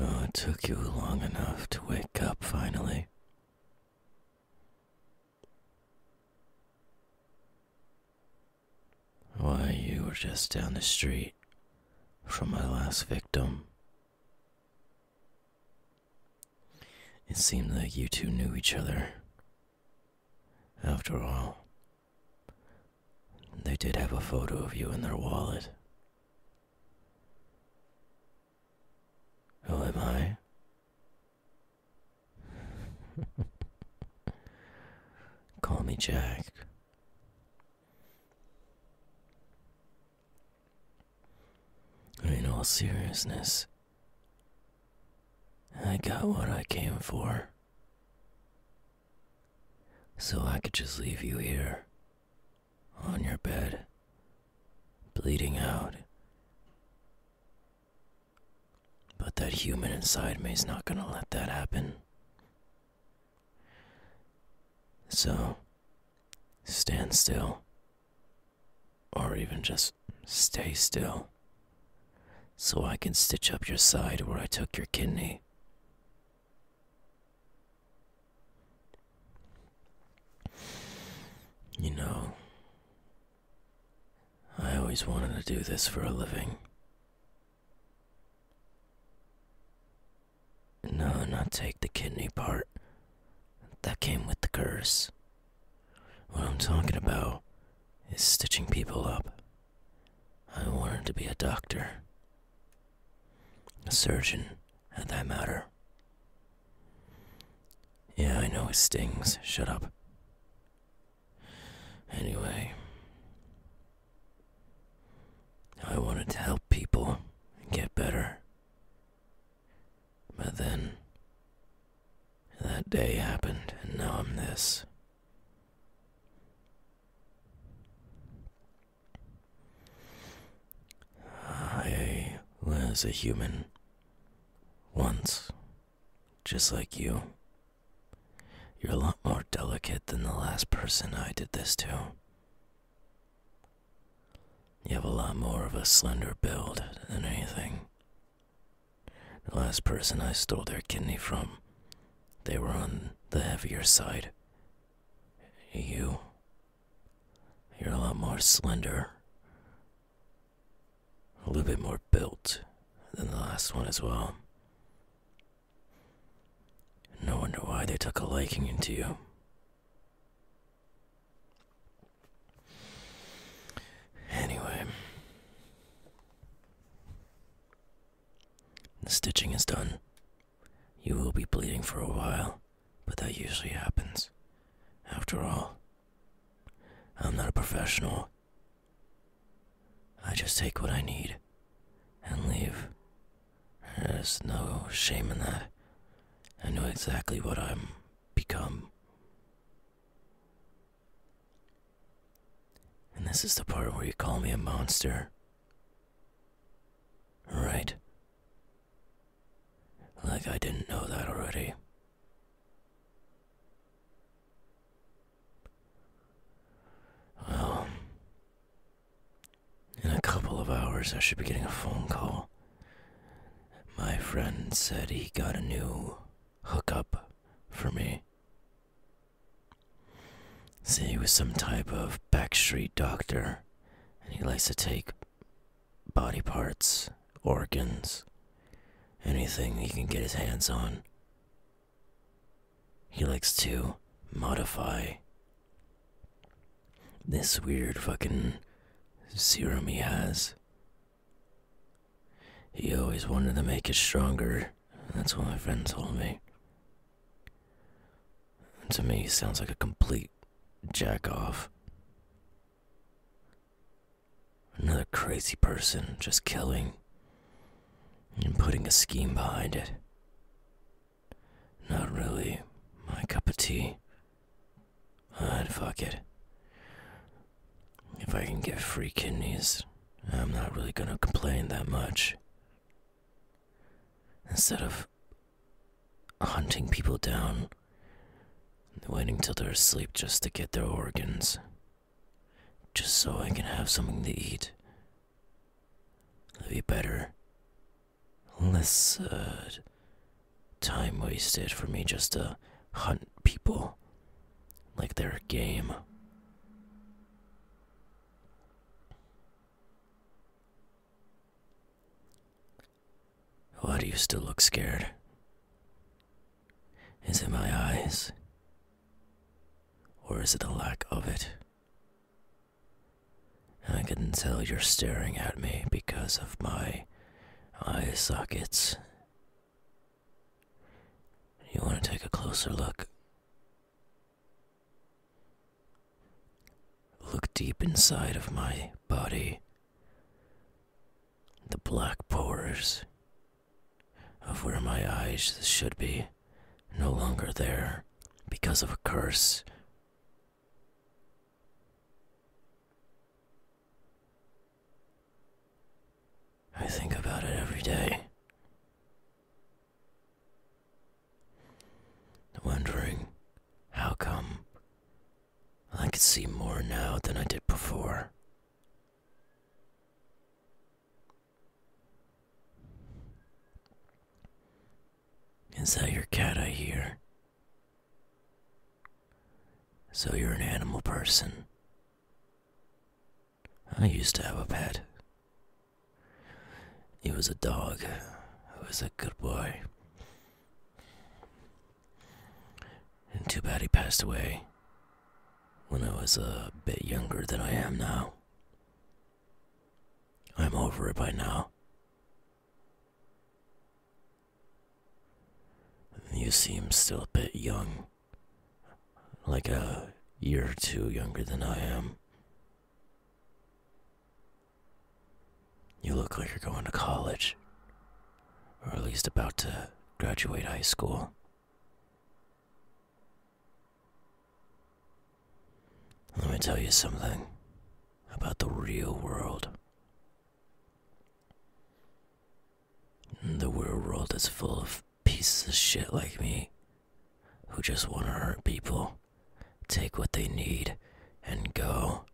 Oh, it took you long enough to wake up finally. Why, you were just down the street from my last victim. It seemed like you two knew each other. After all, they did have a photo of you in their wallet. Who am I? Call me Jack. In all seriousness, I got what I came for. So I could just leave you here, on your bed, bleeding out. But that human inside me is not gonna let that happen. So, stand still, or even just stay still, so I can stitch up your side where I took your kidney. You know, I always wanted to do this for a living. No, not take the kidney part. That came with the curse. What I'm talking about is stitching people up. I wanted to be a doctor, a surgeon, at that matter. Yeah, I know it stings. Shut up. Anyway, I wanted to help people get better. But then, that day happened, and now I'm this. I was a human once just like you. You're a lot more delicate than the last person I did this to. You have a lot more of a slender build than anything. The last person I stole their kidney from, they were on the heavier side. You. You're a lot more slender a little bit more built than the last one as well. No wonder why they took a liking into you. Anyway, the stitching is done. You will be bleeding for a while, but that usually happens. After all, I'm not a professional, I just take what I need and leave. There's no shame in that. I know exactly what I'm become. And this is the part where you call me a monster. Right. Like I didn't know that already. Well, in a couple of hours, I should be getting a phone call. My friend said he got a new hookup for me. See, he was some type of backstreet doctor, and he likes to take body parts, organs, anything he can get his hands on. He likes to modify this weird fucking serum he has. He always wanted to make it stronger. That's what my friend told me. to me, he sounds like a complete jack off. Another crazy person just killing and putting a scheme behind it. Not really my cup of tea. And fuck it. If I can get free kidneys, I'm not really gonna complain that much. Instead of hunting people down Waiting till they're asleep just to get their organs. Just so I can have something to eat. That'd be better. Less, uh, time wasted for me just to hunt people like they're game. Why do you still look scared? Is it my eyes? Or is it the lack of it? I can tell you're staring at me because of my eye sockets. You want to take a closer look? Look deep inside of my body. The black pores of where my eyes should be no longer there because of a curse. I think about it every day. Wondering how come I can see more now than I did before. Is that your cat I hear? So you're an animal person. I used to have a pet. He was a dog. He was a good boy. And too bad he passed away when I was a bit younger than I am now. I'm over it by now. You seem still a bit young. Like a year or two younger than I am. You look like you're going to college, or at least about to graduate high school. Let me tell you something about the real world. The real world is full of pieces of shit like me who just want to hurt people, take what they need, and go.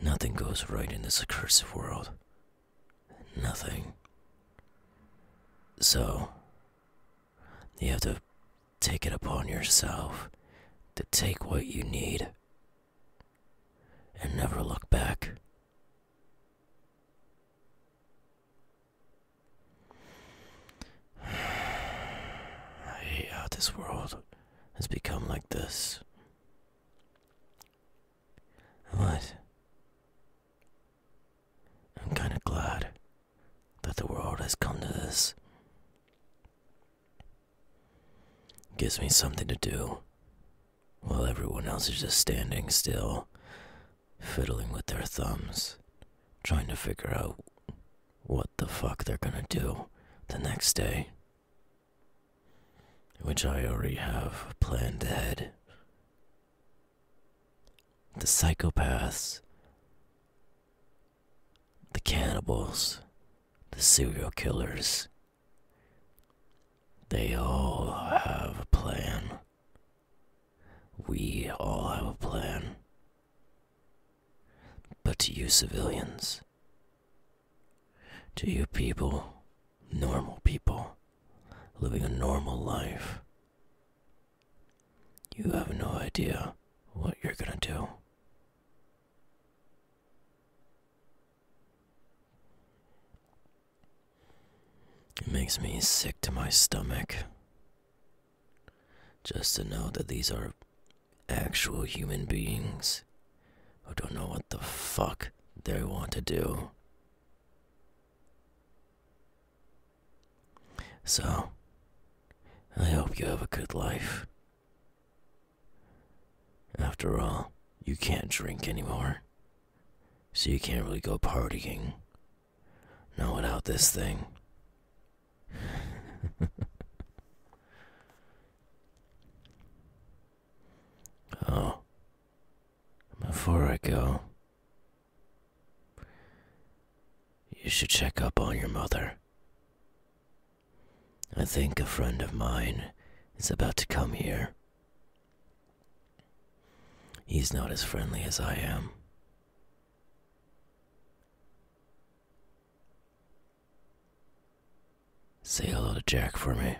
Nothing goes right in this accursed world. Nothing. So, you have to take it upon yourself to take what you need and never look back. I hate how this world has become like this. But I'm kind of glad that the world has come to this. gives me something to do while everyone else is just standing still fiddling with their thumbs, trying to figure out what the fuck they're gonna do the next day. Which I already have planned ahead. The psychopaths, the cannibals, the serial killers, they all have a plan we all have a plan. But to you civilians, to you people, normal people, living a normal life, you have no idea what you're gonna do. It makes me sick to my stomach. Just to know that these are actual human beings who don't know what the fuck they want to do. So, I hope you have a good life. After all, you can't drink anymore. So you can't really go partying. Not without this thing. oh. Before I go, you should check up on your mother. I think a friend of mine is about to come here. He's not as friendly as I am. Say hello to Jack for me.